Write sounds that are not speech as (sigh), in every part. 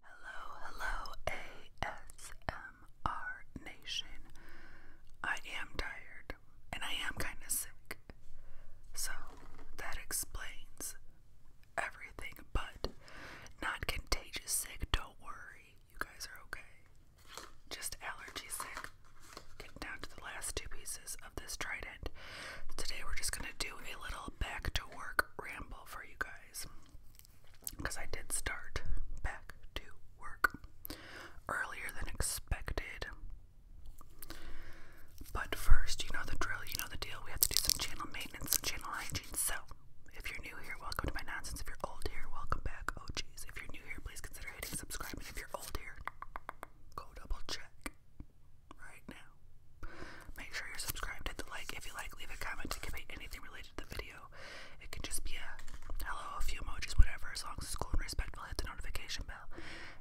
Hello, hello, ASMR Nation. I am tired and I am kind of sick. So that explains everything, but not contagious sick. Don't worry, you guys are okay. Just allergy sick. Getting down to the last two pieces of this Trident. Today we're just gonna do a little back to work ramble for you guys. Because I did start back to work earlier than expected. But first, you know the drill, you know the deal. We have to do some channel maintenance and channel hygiene. So, if you're new here, welcome to my nonsense. If you're old here, welcome back. Oh, jeez. If you're new here, please consider hitting subscribe. And if you're old here, go double check right now. Make sure you're subscribed, hit the like if you like, leave a comment to convey anything related to the video. It can just be a hello, a few emojis, whatever, as long as it's cool and respectful, hit the notification bell.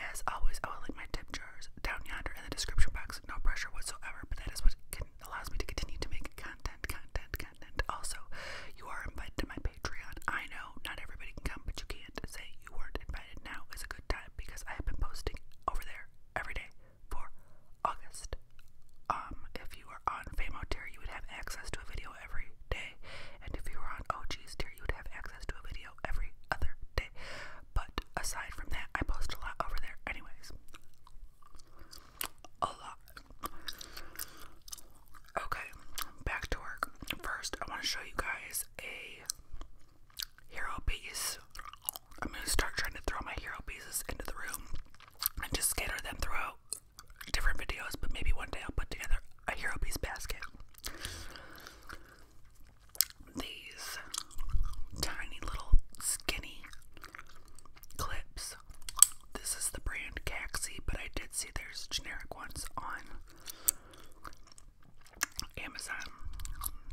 As always, I will link my tip jars down yonder in the description box. No pressure whatsoever, but that is what allows me to continue to make content, content, content. Also, you are invited to my Patreon. I know not everybody can come, but you can't say you weren't invited. Now is a good time because I have been posting over there every day for August. Um, if you were on Famo tier, you would have access to a video every day, and if you were on OG's tier, you would have access to a video every other day. But aside from that, I post a lot over there, anyways. A lot. Okay, back to work. First, I want to show you guys a hero piece. I'm gonna start trying to throw my hero pieces into the room and just scatter them throughout different videos, but maybe one day I'll put together a hero piece basket. These tiny little skinny clips. This is the brand Caxi, but I did see there's generic ones on Amazon.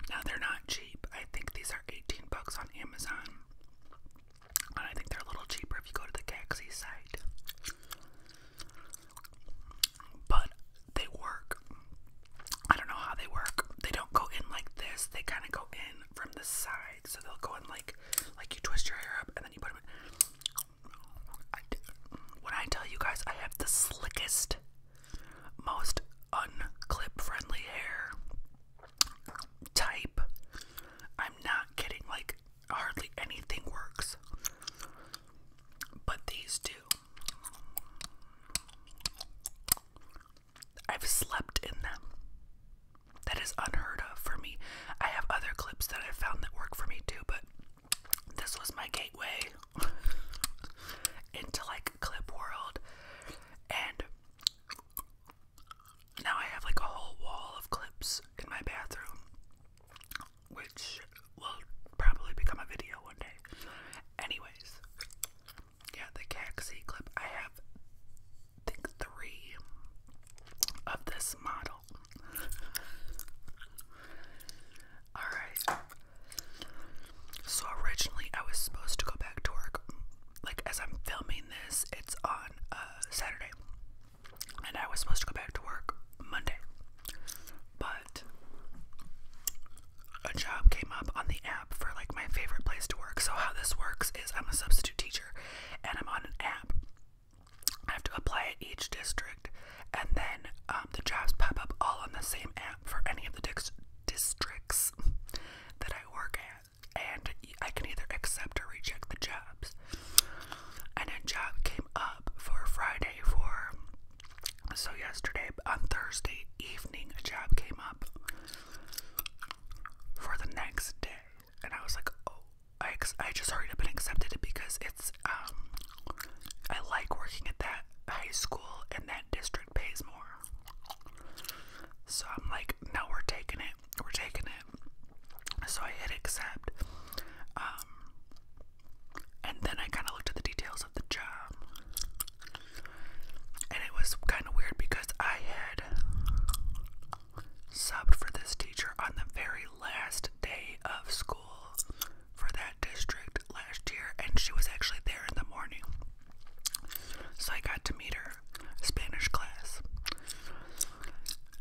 Now they're not cheap. I think these are 18 bucks on Amazon. And I think they're a little cheaper if you go to the Gaxi site. But they work. I don't know how they work. They don't go in like this. They kind of go in from the side. So they'll go in like like you twist your hair up and then you put them in. I, when I tell you guys I have the slickest most unclip friendly hair type. I'm not kidding, like, hardly anything works. But these do. I've slept in them. That is unheard of for me. I have other clips that i found that work for me too, but this was my gateway. (laughs) into like clip world and now I have like a whole wall of clips in my bathroom which will probably become a video one day. Anyways, yeah, the Caxi clip. I have think three of this model. (laughs) Alright. So originally I was supposed to go back to work. Like as I'm filming this, it's on uh, Saturday, and I was supposed to go back to work Monday, but a job came up on the app for like my favorite place to work. So how this works is I'm a substitute teacher, and I'm on an app. I have to apply at each district, and then um, the jobs pop up all on the same app for any of the districts districts that I work at, and I can either accept or reject the jobs. And a job came up for Friday for so yesterday on Thursday evening a job came up for the next day, and I was like, oh, I I just hurried up and accepted it because it's um I like working at that high school in that district pays more. So I'm like, no, we're taking it. We're taking it. So I hit accept. Um, and then I kind of looked at the details of the job. And it was kind of weird because I had subbed for this teacher on the very last day of school for that district last year, and she was actually there in the morning. So I got to meet her Spanish class.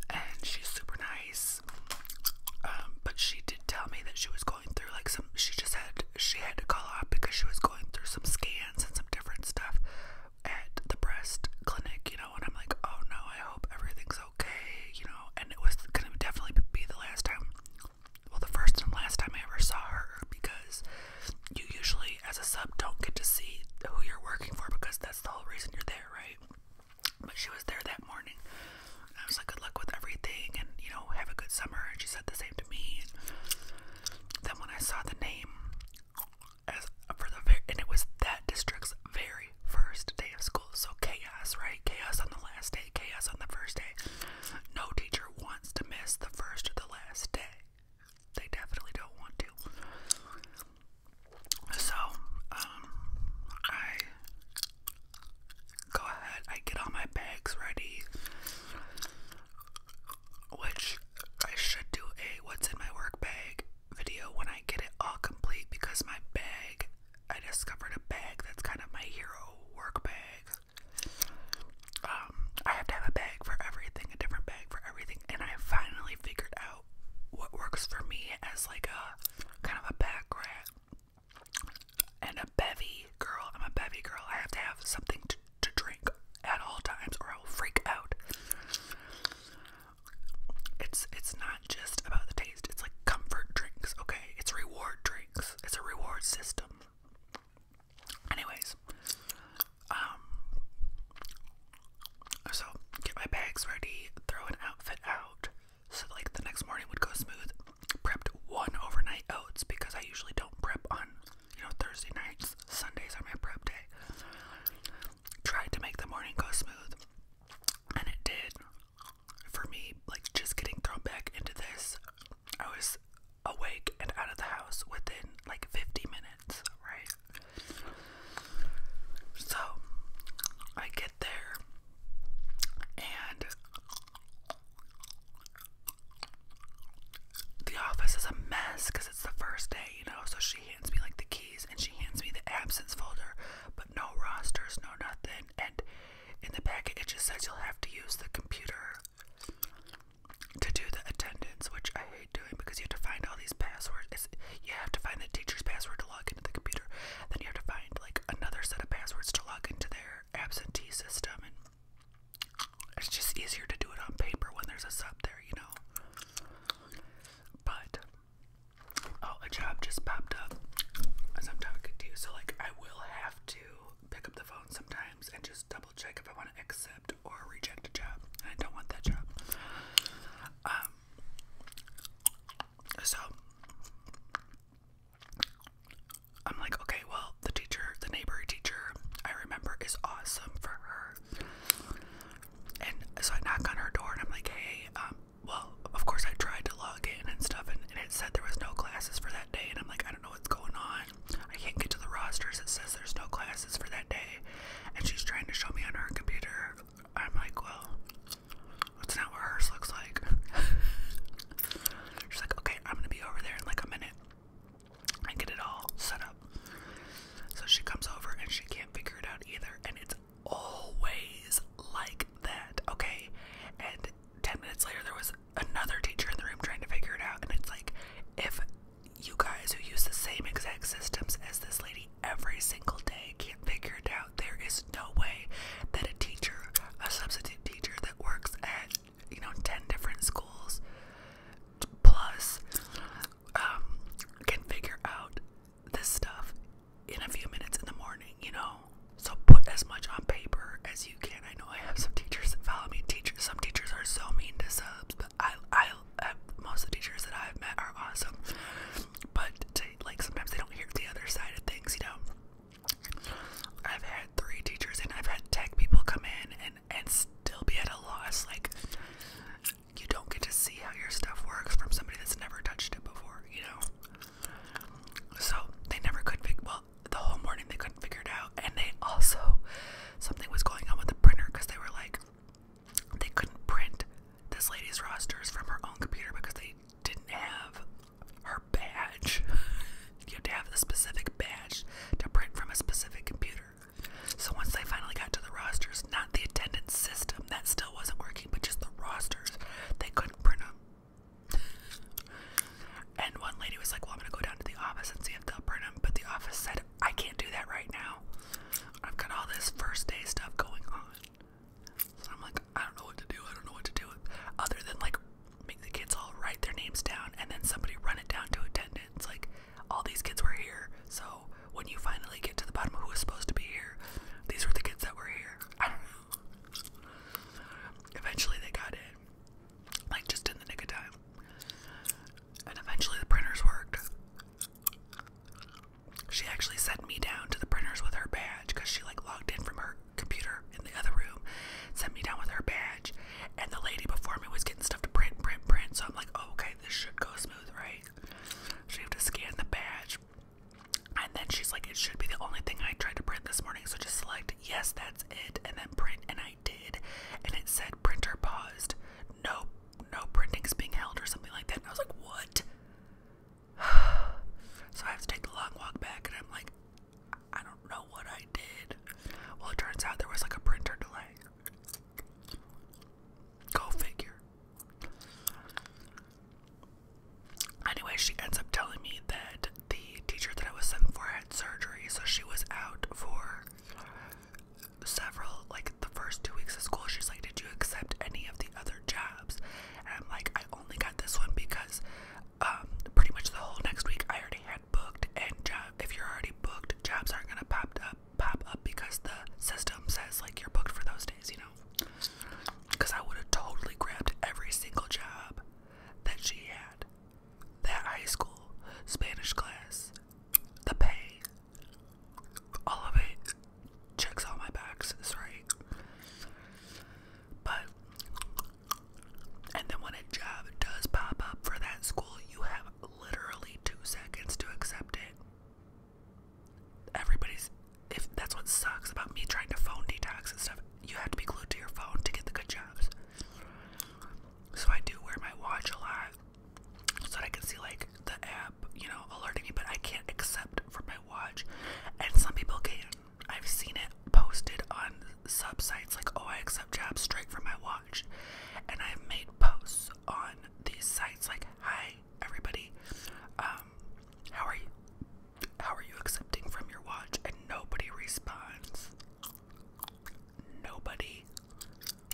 And she's super nice. Um, but she did tell me that she was going through like some she just had she had to call off because she was going through some scans and some different stuff at the breast clinic, you know, and I'm like, oh no, I hope everything's okay, you know, and it was gonna definitely be the last time well, the first and last time I ever saw her because you usually, as a sub, don't get to see who you're working for because that's the whole reason you're there, right? But she was there that morning. I was like, good luck with everything and, you know, have a good summer. And she said the same to me. And then when I saw the name, as for the and it was that district's very first day of school. So chaos, right? Chaos on the last day, chaos on the first day. No teacher wants to miss the first or the last day. They definitely don't want to. So, um, I go ahead, I get all my bags ready, which I should do a what's in my work bag video when I get it all complete because my bag, I discovered a bag that's kind of my hero work bag. Um, I have to have a bag for everything, a different bag for everything, and I finally figured out what works for me as like a kind of a pack rat and a bevy girl. I'm a bevy girl. I have to have something to, to drink at all times, or I will freak out. It's it's not just about the taste. It's like comfort drinks, okay? It's reward drinks. It's a reward system. Anyways, um, so get my bags ready, throw an outfit out, so like the next morning would go smooth. Prepped one overnight oats because I usually don't prep on, you know, Thursday nights. Sundays are my prep day. Tried to make the morning go smooth, and it did. For me, like just getting thrown back into this I was awake and out of the house within like 50 minutes, right? So I get there and the office is a mess because it's the first day, you know. So she hands me like the keys and she hands me the absence folder, but no rosters, no nothing. And in the packet, it just says you'll have to use the computer to do the attendance, which I hate doing because you have to find all these passwords. you have to find the teacher's password to log into the computer. Then you have to find like another set of passwords to log into their absentee system, and it's just easier to do it on paper when there's a sub there, you know. But oh, a job just popped up as I'm talking to you, so like I will have to pick up the phone sometimes and just double check if I want to accept or reject a job. And I don't want that job. Um, so I'm like, okay, well, the teacher, the neighbor teacher, I remember is awesome for her. And so I knock on her door and I'm like, hey, um, well, of course I tried to log in and stuff, and it said there was no classes for that day, and I'm like, I don't know what's going on. I can't get to the rosters. It says there's no classes for that day. And she's trying to show me on her computer. I'm like, well, that's not what hers looks like. (laughs) she's like, okay, I'm gonna be over there in like a minute I get it all set up. So she comes over and she can't figure it out either. And it's always like that, okay? And 10 minutes later, there was another teacher in the room trying to figure it out. And it's like, if you guys who use the same exact systems as this lady every single day can't figure it out, there is no way that a teacher, a substitute teacher that works at, you know, 10 different schools plus, um, can figure out this stuff in a few minutes in the morning, you know? So put as much on paper as you can. I know I have some teachers that follow me. Teachers, some teachers are so mean to subs, but I, I, I uh, most of the teachers that I've met are awesome. But to, like sometimes they don't hear the other side of things, you know. I've had three teachers, and I've had tech people come in and and still be at a loss. Like you don't get to see how your stuff works from somebody that's never touched it before, you know. So they never could. Well, the whole morning they couldn't figure it out and they also something was going on with the printer because they were like they couldn't print this lady's rosters from her own computer because they didn't have her badge (laughs) you have to have a specific badge to print from a specific computer so once they finally got to the rosters not the attendance system that still wasn't working but just the rosters they couldn't print them (laughs) And one lady was like, Well, I'm gonna go down to the office and see if they'll print them. But the office said, I can't do that right now. I've got all this first day stuff going on. So I'm like, I don't know what to do. I don't know what to do. Other than like make the kids all write their names down and then somebody run it down to attendance. Like, all these kids were here. So when you finally get to the bottom of who was supposed to be here, these were the kids that were here. Eventually they got it. Like just in the nick of time. And eventually the printers worked. She actually sent me down to the printers with her badge because she like logged in from her computer in the other room, sent me down with her badge, and the lady before me was getting stuff to print, print, print. So I'm like, oh, okay, this should go smooth, right? She you have to scan the badge, and then she's like, it should be the only thing I tried to print this morning. So just select yes, that's it, and then print, and I did, and it said printer paused. No, no printing is being held or something like that. And I was like, what? (sighs) so I have to take the long walk back, and I'm like, I don't know what I did. Well, it turns out there was like a printer delay. Go figure. Anyway, she ends up telling me that the teacher that I was sent for had surgery, so she was out for several like the first two weeks of school she's like did you accept any of the other jobs and i'm like i only got this one because um pretty much the whole next week i already had booked and job if you're already booked jobs aren't gonna pop up pop up because the system says like you're booked for those days you know because i would have totally grabbed every single job that she had that high school Spanish class, the pay, all of it checks all my bags. Sorry, But, and then when a job does pop up for that school, you have literally two seconds to accept it. Everybody's, if that's what sucks about me trying to phone detox and stuff, you have to be glued to your phone to get the good jobs. So I do wear my watch a lot so I can see like the app, you know, alerting me, but I can't accept from my watch. And some people can. I've seen it posted on sub sites like, oh, I accept jobs straight from my watch. And I've made posts on these sites like, hi, everybody, um, how are you? How are you accepting from your watch? And nobody responds nobody.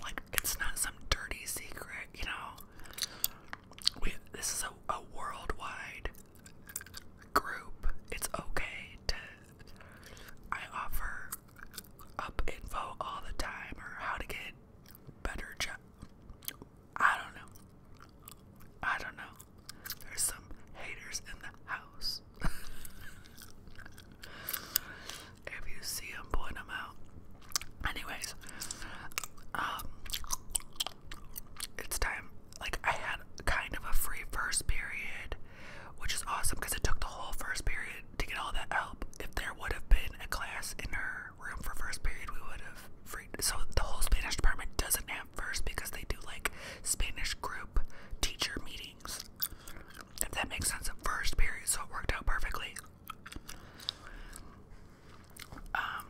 Like, it's not some dirty secret, you know? We, this is a, a worldwide group. It's okay to. I offer up info all the time or how to get better job. I don't know. I don't know. There's some haters in the house. (laughs) if you see them, point them out. Anyways, um, it's time. Like, I had kind of a free first period, which is awesome because it took the whole first period to get all that help. If there would have been a class in her room for first period, we would have free. So, the whole Spanish department doesn't have first because they do like Spanish group teacher meetings if that makes sense, first period, so it worked out perfectly. Um,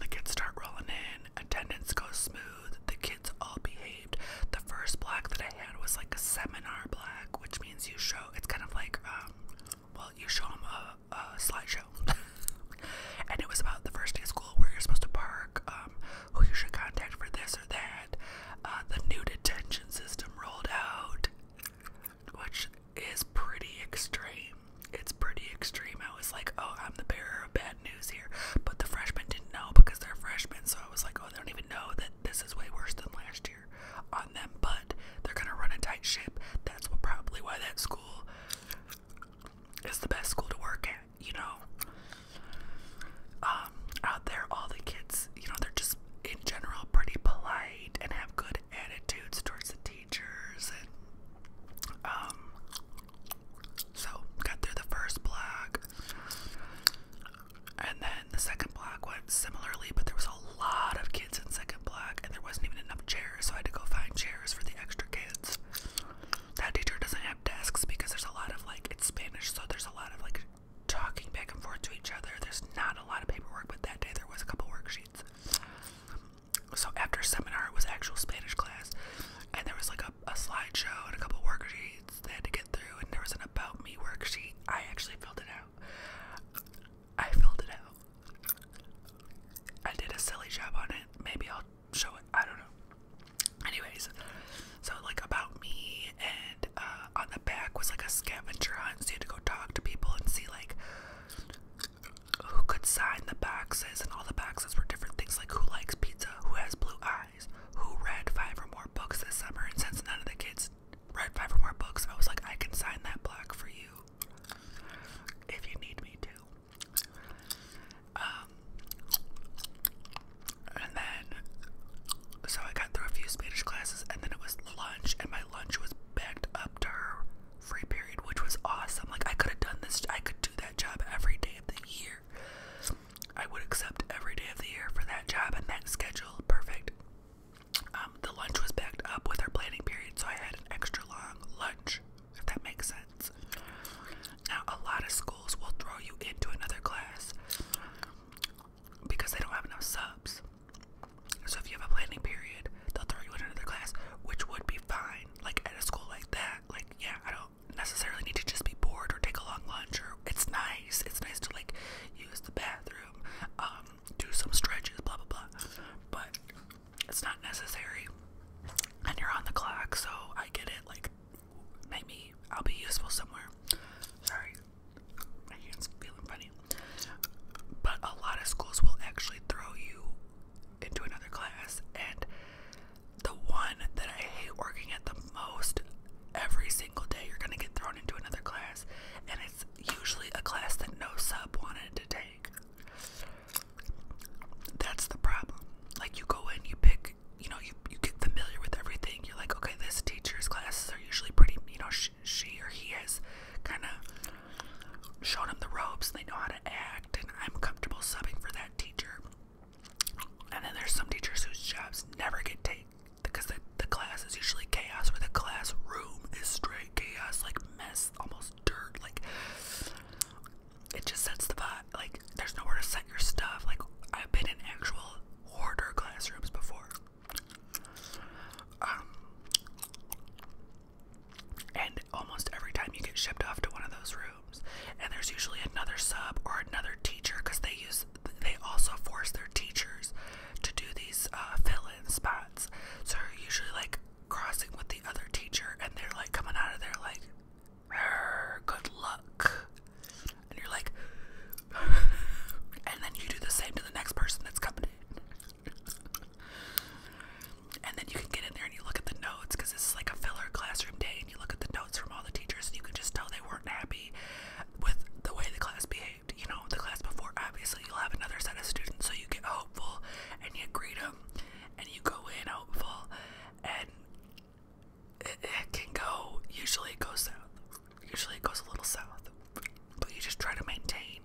the kids start rolling in, attendance goes smooth, the kids all behaved. The first block that I had was like a seminar block, which means you show, it's kind of like, um, well, you show them a, a slideshow. (laughs) and it was about the first day of school where you're supposed to park, um, who you should contact for this or that. Uh, the new detention system rolled out, which is pretty extreme. It's pretty extreme. I was like, oh, I'm the bearer of bad news here. But the freshmen didn't know because they're freshmen, so I was like, oh, they don't even know that this is way worse than last year on them. But they're going to run a tight ship. That's what, probably why that school is the best school to work at, you know? Um, out there, all the kids, you know, they're just in general pretty polite and have good attitudes towards the teachers. And, um, so got through the first block, and then the second block went similarly, but there was a lot of kids in second block, and there wasn't even enough chairs, so I had to go find chairs for the extra kids. That teacher doesn't have desks because there's a lot of like it's Spanish, so there's a lot of like talking back and forth to each other. There's not a lot of paperwork, but that day there was a couple worksheets. So after seminar, it was actual Spanish class, and there was like a, a slideshow and a couple worksheets they had to get through, and there was an about me worksheet. I actually filled it out. I filled it out. I did a silly job on it. Maybe I'll show it. I don't know. Anyways, so like about me and uh, on the back was like a scavenger hunt, so you had to go talk to people and see like who could sign the boxes, and all the boxes were different things like who likes pizza, who has blue eyes, who read five or more books this summer, and since none of the kids read five or more books, I was like, I can sign that block for you if you need me to. Um, and then, so I got through a few Spanish classes, and then it was lunch, and my lunch was backed up to free period, which was awesome. Like, I could have done this, I could do that job every day of the year. I would accept every day of the year for that job and that schedule. Perfect. Um, the lunch was backed up with our planning period, so I had an extra long lunch, if that makes sense. Now, a lot of schools will throw you into another class because they don't have enough subs. So if you have a planning period, they'll throw you in another class, which would be fine. Like at a school like that, like yeah, I don't necessarily need to just be bored or take a long lunch. Or it's nice. It's nice to like use the bathroom, um, do some stretches, blah blah blah. But it's not necessary, and you're on the clock, so I get it. Like maybe I'll be useful somewhere. Sorry, my hand's feeling funny. But a lot of schools will actually throw you into another class, and the one that I hate working at the most every single day, you're gonna get thrown into another class, and it's usually a class that no sub wanted to take. That's the problem. Like, you go in, you pick you know, you, you get familiar with everything. You're like, okay, this teacher's classes are usually pretty, you know, she, or he has kind of shown them the ropes. And they know how to act, and I'm comfortable subbing for that teacher. And then there's some teachers whose jobs never get taken because the, the class is usually chaos, where the classroom is straight chaos, like mess, almost dirt. Like, it just sets the vibe. Like, there's nowhere to set your stuff. Like, I've been in actual hoarder classrooms before um, and almost every time you get shipped off to one of those rooms, and there's usually another sub or another teacher because they use they also force their teachers to do these uh, fill-in spots. So you're usually like crossing with the other teacher, and they're like coming out of there like, "Good luck." and you're like, (laughs) and then you do the same to the next person that's coming in. and then you can get in there and you look at the notes because this is like a filler classroom day, and you look at the notes from all the teachers, and you can just tell they weren't happy with the way the class behaved. You know, the class before, obviously, you'll have another set of students, so you get hopeful and you greet them and you go in hopeful and it, can go, usually it goes south. Usually it goes a little south. But you just try to maintain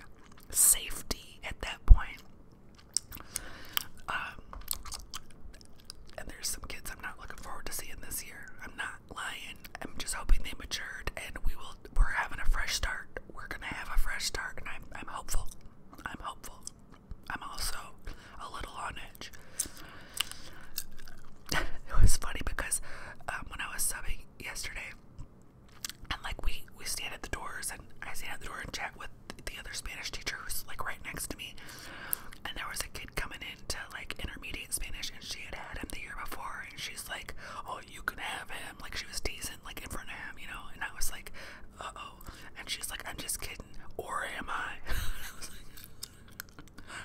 safety at that point. Um, and there's some kids I'm not looking forward to seeing this year. I'm not lying. I'm just hoping they matured and we will. We're having a fresh start. We're gonna have a fresh start, and I'm I'm hopeful. I'm hopeful. I'm also a little on edge. (laughs) it was funny because um, when I was subbing yesterday, and like we we stand at the doors, and I stand at the door and chat with the other Spanish teacher who's like right next to me, and there was a kid coming in to like intermediate Spanish, and she had had him the year before, and she's like, "Oh, you can have him," like she was teasing, like in front of him, you know, and I was like, "Uh oh," and she's like, "I'm just kidding," or am I? (laughs)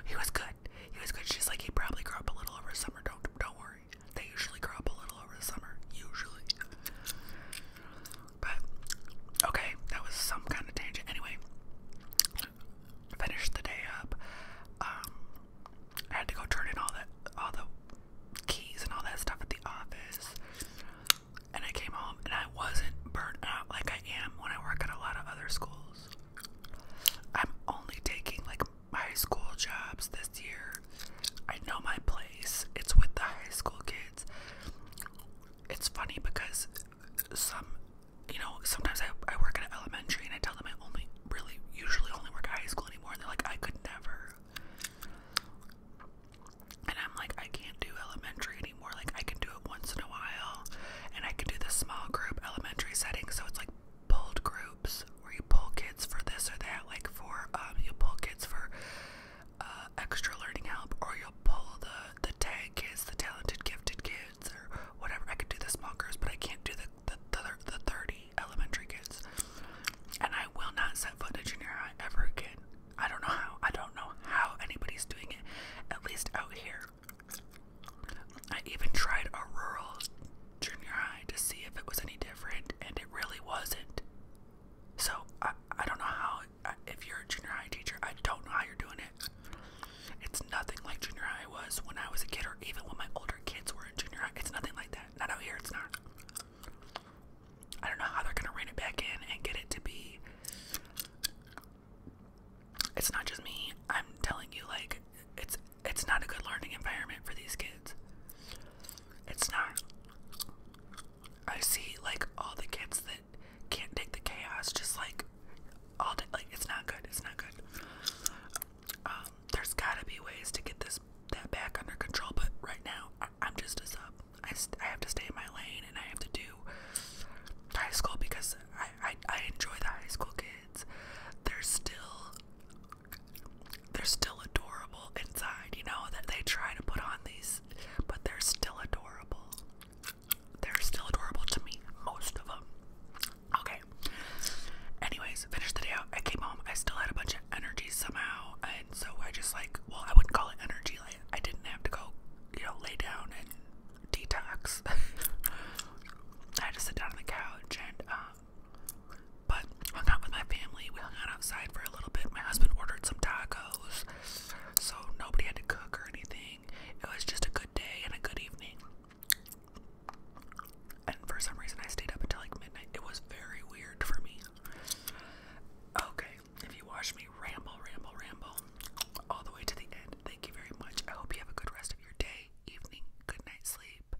He was good. He was good. She's like, he probably grew up a little over the summer. Don't don't worry. They usually grow up a little over the summer. Usually. But okay, that was some kind of tangent. Anyway, finished the day up. Um, I had to go turn in all that, all the keys and all that stuff at the office. And I came home and I wasn't burnt out like I am when I work at a lot of other schools. I'm only taking like high school jobs this year. I know my place. It's with the high school kids. It's funny because some, you know, sometimes I, I work in elementary and I tell them I only really usually only work at high school anymore. And they're like, I could never. And I'm like, I can't do elementary anymore. Like, I can do it once in a while. And I can do the small group elementary setting. So it's like pulled groups where you pull kids for this or that, like for um, you pull kids for uh, extra learning help, or you'll pull the the tag kids, the talented gifted kids, or whatever. I could do the small groups, but I can't do the the the, the thirty elementary kids. And I will not set foot in junior high ever again. I don't know how. I don't know how anybody's doing it. At least out here. I even tried a rural junior high to see if it was any different, and it really wasn't. So I, I don't know how. If you're a junior high teacher, I don't know how you're doing it. It's nothing like junior high was when I was a kid, or even when my older kids were in junior high. It's nothing like that. Not out here. It's not. I don't know how they're gonna rein it back in and get it to be it's not just me. I'm telling you, like, it's it's not a good learning environment for these kids. It's not. I see like all the kids that can't take the chaos, just like all day. Like it's not good. It's not good. Um, there's gotta be ways to get this that back under control, but right now I, am just a sub. I, I have to stay in my lane and I have to do high school because I I, I enjoy the high school kids they're still they're still adorable inside, you know, that they try to put on these, but they're still adorable. They're still adorable to me, most of them. Okay. Anyways, finished the day out. I came home. I still had a bunch of energy somehow, and so I just like, well, I wouldn't call it energy. Like I didn't have to go, you know, lay down and detox. (laughs) I had to down on the couch and, uh, but hung out with my family. We hung out outside for a little bit. My husband ordered some tacos, so nobody had to cook or anything. It was just a good day and a good evening. And for some reason, I stayed up until like midnight. It was very weird for me. Okay, if you watch me ramble, ramble, ramble all the way to the end, thank you very much. I hope you have a good rest of your day evening, good night sleep.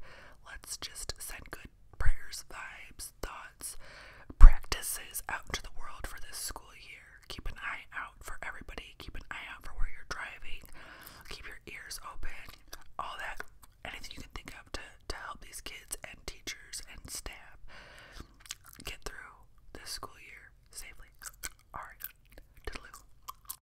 Let's just send good prayers, vibes, thoughts, practices out into the world for this school year. Keep an eye out for everybody. Keep an eye out for where you're driving. Keep your ears open. All that, anything you can think of to, to help these kids and teachers and staff get through this school year safely. All right. Toodaloo.